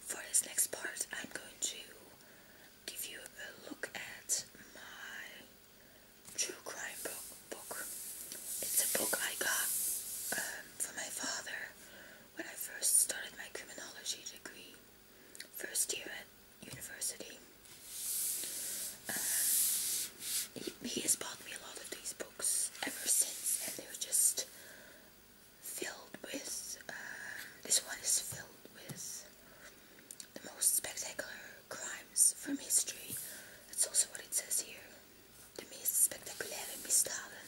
For this next part, I'm going to give you a look at my true crime book. It's a book I got um, from my father when I first started my criminology degree, first year university. Uh, he, has bought me a lot of these books ever since, and they're just filled with. Uh, this one is filled with the most spectacular crimes from history. That's also what it says here. De meest spectaculaire misdaden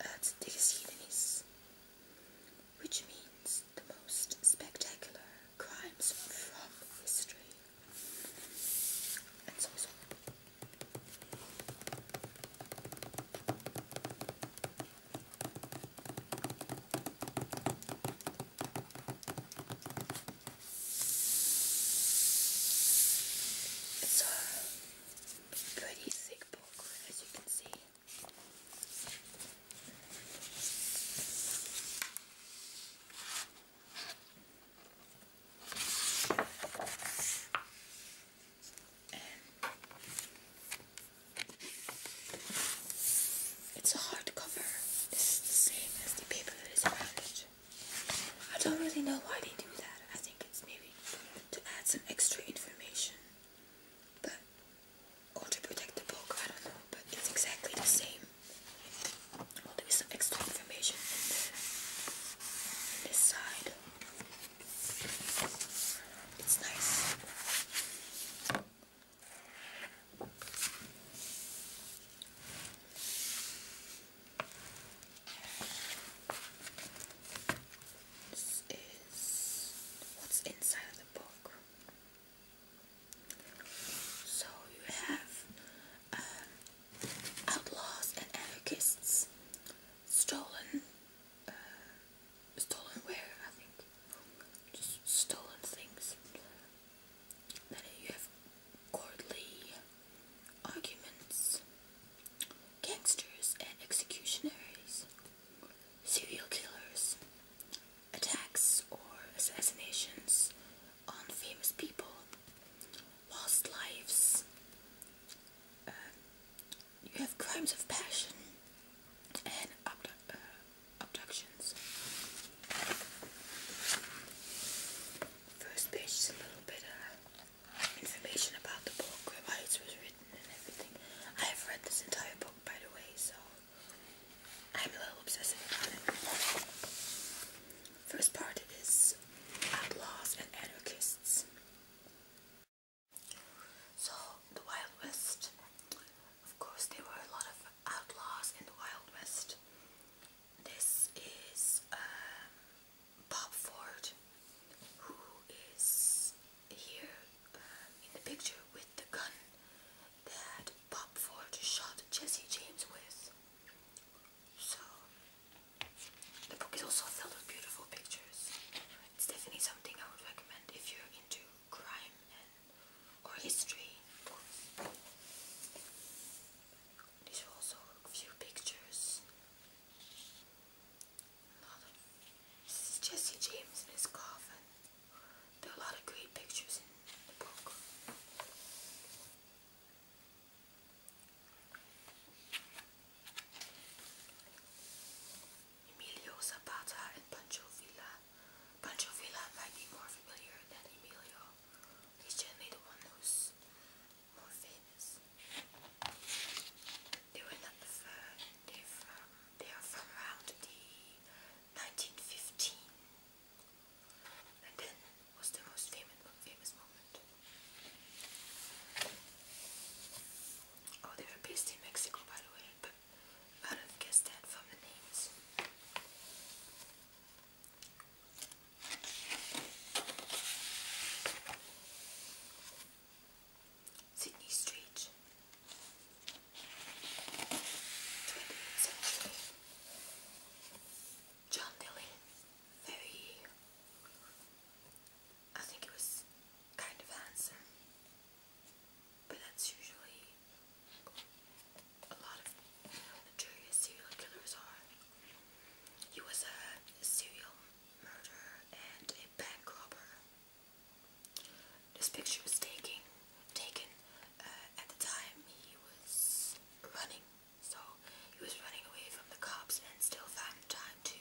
uit uh, de geschiedenis. Which means the most spectacular crimes from history, It's a pretty thick book, as you can see. It's a hardcover. cover. It's the same as the paper that is around it. I don't really know why they do that. I think it's maybe to add some extra information. But Ultra Protect the Bulk, I don't know, but it's exactly the same. Well, there is some extra information in, It's nice. This is what's inside of the book. So you have um, outlaws and anarchists, stolen, uh, stolen ware, I think, just stolen things. Then you have courtly arguments, gangsters and executionaries, serial killers, attacks or assassinations on famous people, lost lives, um, you have crimes of passion, and uh, abductions. First page is a little bit of uh, information about the book, why it was written, and everything. I have read this entire book, by the way, so I'm a little obsessive about it. First part is outlaws and anarchists. So the Wild West. Of course, there were a lot of outlaws in the Wild West. This is um, Bob Ford, who is here um, in the picture with the gun that Bob Ford shot Jesse James with. So, the book is also filled with beautiful pictures. It's definitely something I would recommend if you're into crime and or history. These also a few pictures. This is Jesse James in his coffin. There are a lot of great pictures in the book. Emilio Zapata and Pancho Villa. Pancho Villa might be more familiar than Emilio. He's generally the one who's more famous. They were not from, they are from around the 1915 then was the most famous, famous moment. Oh, they were based in Mexico, by the way, but I don't guess that from the names. Sydney Street, John Dillon, I think it was kind of handsome, but that's usually a lot of notorious serial killers are. He was a serial murderer and a bank robber. This picture was taken taken uh, at the time he was running so he was running away from the cops and still found time to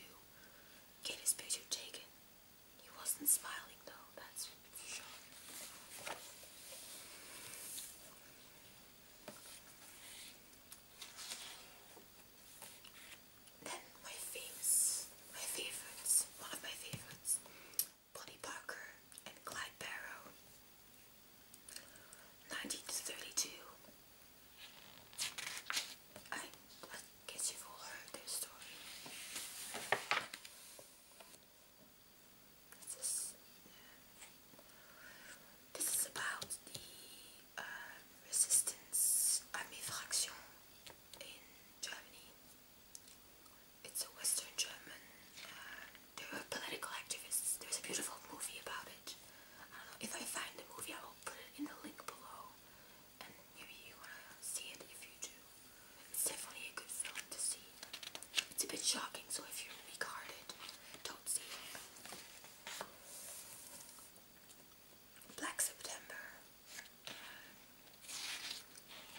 get his picture taken he wasn't smiling though that's for sure then my famous, my favorites, one of my favorites Bonnie Parker, and Clyde Barrow. 1932. I, guess you've all heard their story. This is, about the uh, resistance army faction in Germany it's a Western German. Uh, political activists. There's a beautiful movie about it. if I find the movie, I will put it in the link below, and maybe you wanna see it if you do. It's definitely a good film to see. It's a bit shocking, so if you're weak-hearted, don't see it. Black September.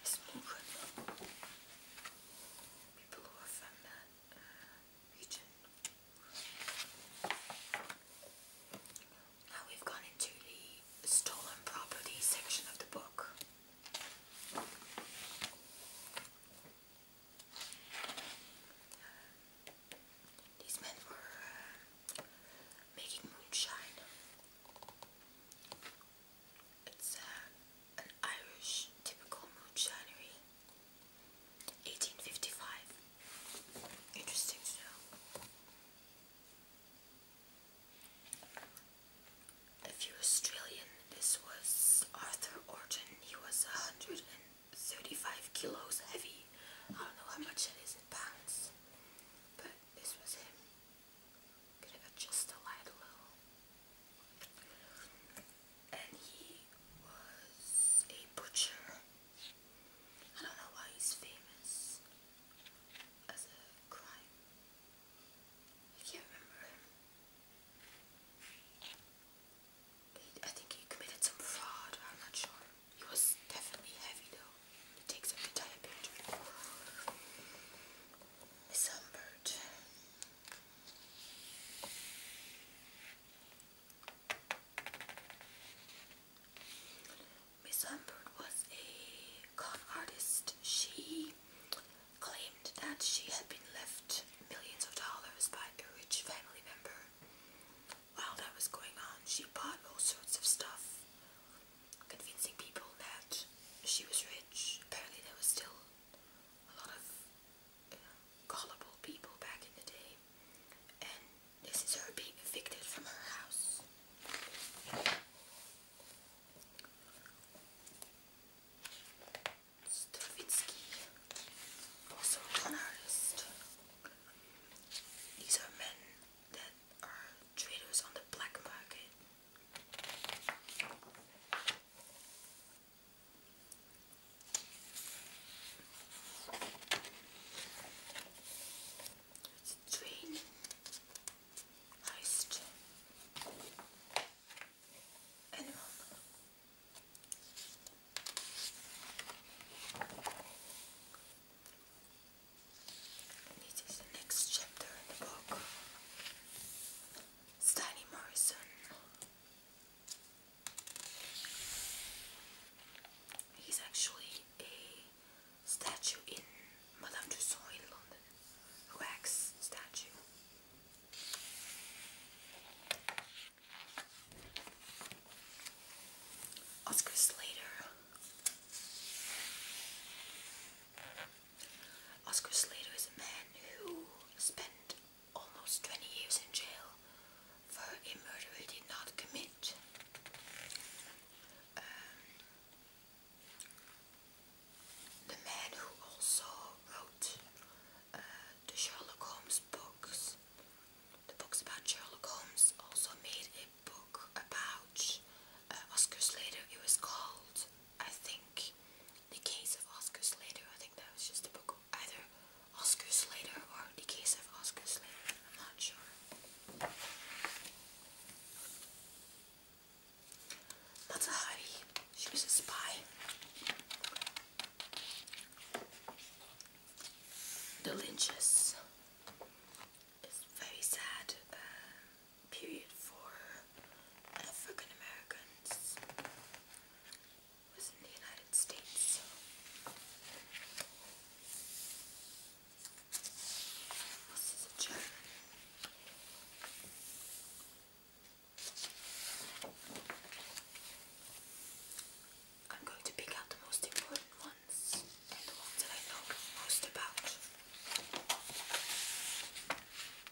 Smoke. People who are that now we've gone into the stolen property section of the book. These men were uh, making moonshine. It's uh, an Irish typical moonshinery. 1855. Interesting to know. If you're Australian, this was Arthur Orton. He was 135 kilos heavy. I don't know how much that is in pounds, but this was him. Gonna adjust the light a little and he was a butcher. I don't know why he's famous as a crime. I can't remember him. I think he committed some fraud, I'm not sure. He was definitely heavy though. It takes up the entire picture. Humbert. Miss Humbert was a con artist. She claimed that she had been left millions of dollars by a rich family member. While that was going on, she bought all sorts of stuff, convincing people that she was rich. Apparently, there was still a lot of gullible people back in the day. And this is her being evicted from her house. Stravinsky, also an artist. These are men that are traders on the black market. Train heist. Animal. This is the next chapter in the book. Stanley Morrison He's actually a statue in Madame Tussauds in London, a wax statue. Oscar Slater. Oscar Slater is a man who spent almost 20 years in jail for a murder he did not commit. Um, the man who also wrote uh, the Sherlock Holmes books, the books about Sherlock Holmes, also made a book about uh, Oscar Slater. It was called, I think, The Case of Oscar Slater. I think that was just a book either Oscar Slater or the case of Oscar Slater. I'm not sure. Matahari, she was a spy. The lynches is very sad uh, period for African Americans. This is a German. I'm going to pick out the most important ones and the ones that I know most about.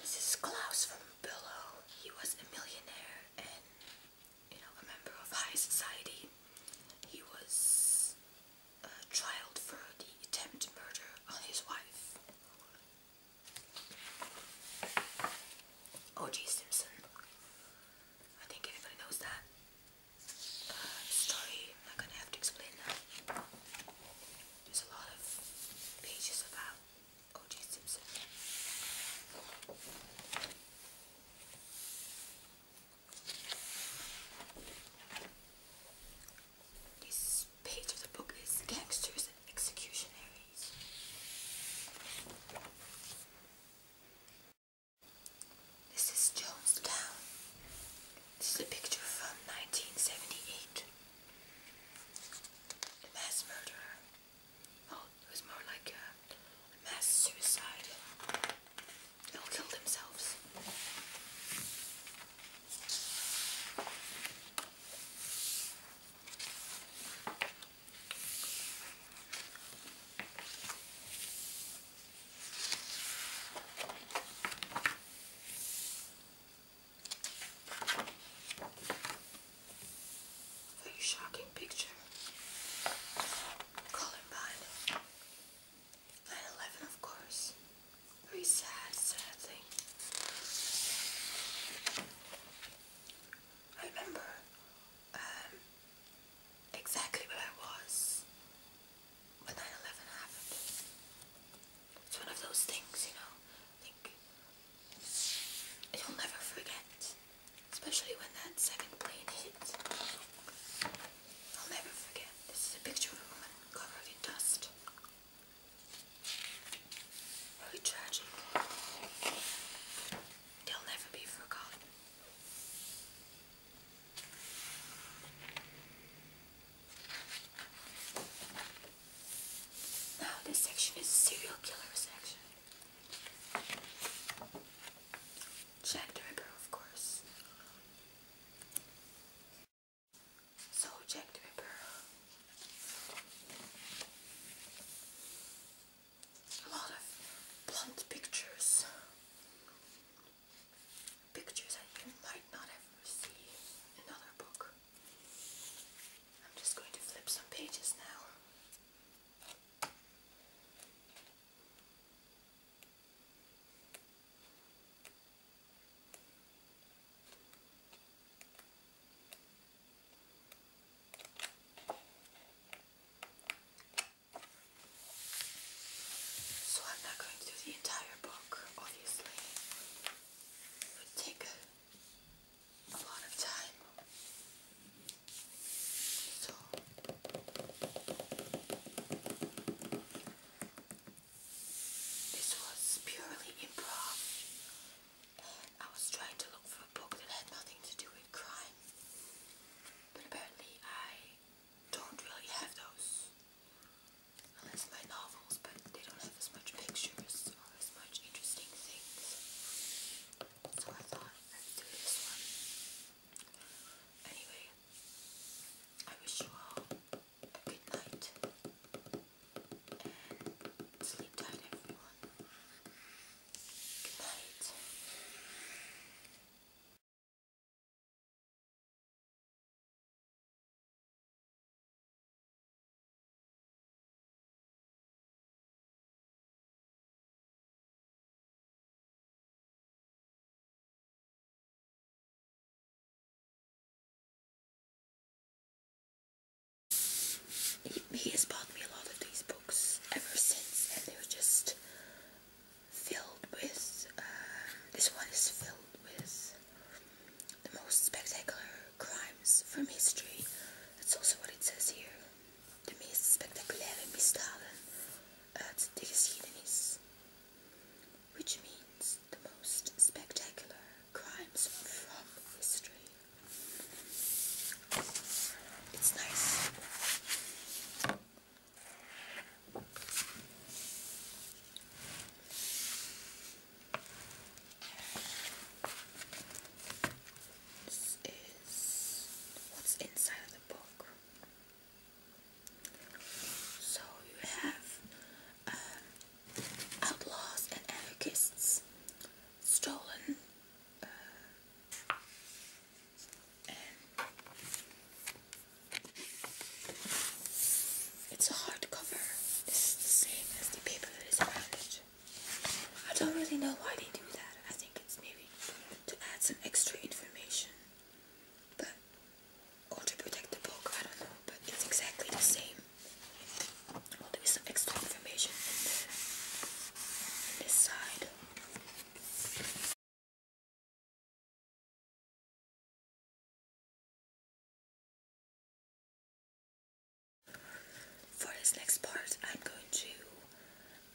This is Klaus from Below. He was a millionaire and you know a member of high society. He was uh, for the attempt murder on his wife. O.G. Simpson. I think everybody knows that uh, I'm not gonna have to explain that. There's a lot of pages about O.J. Simpson. This page of the book is Gangsters and Executionaries. This is Jonestown. This is a picture from 1978. The mass murderer. Oh, it was more like a mass suicide. They all killed themselves. Very shocking picture. Columbine. 9 of course. Very sad, sad thing. I remember um, exactly where I was when 9 11 happened. It's one of those things, you know, I think you'll never forget, especially when that second plane hit. I'll never forget. This is a picture of a woman covered in dust. Very tragic. They'll never be forgotten. Oh, this section is serial killer section. Jack the Ripper, of course. So Jack the A lot of blunt pictures pictures that you might not ever see another book. I'm just going to flip some pages now. So I'm not going to do the entire book, obviously would take a lot of time. this was purely improv. I was trying to look for a book that had nothing to do with crime. But apparently I don't really have those unless my novels, but they don't have as much pictures or as much interesting things. So I thought let's do this one. Anyway, I wish you all a good night and sleep tight, everyone. Good night he has bought me a lot of these books ever since and they're just filled with uh, this one is filled with the most spectacular crimes from history. That's also what it says here. De meest spectaculaire misdaden uit uh, Which means the most spectacular crimes from history. It's nice. This is what's inside of the book. So you have um, outlaws and anarchists, stolen uh, it's a hardcover. It's the same as the paper that is around it. I don't really know why they do that. I think it's maybe to add some extra information. But or to protect the book, I don't know. But it's exactly the same. Well there is some extra information in this side. For this next part, I'm going to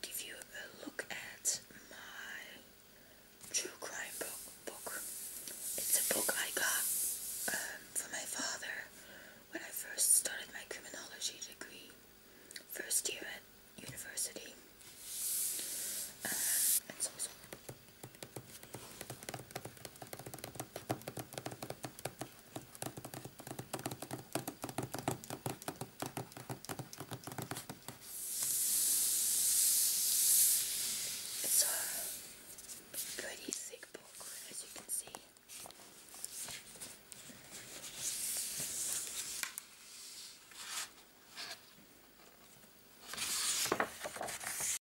give you a look at my true crime book. It's a book I got um, from my father when I first started my criminology degree, first year at university. Um, it's a pretty thick book, as you can see.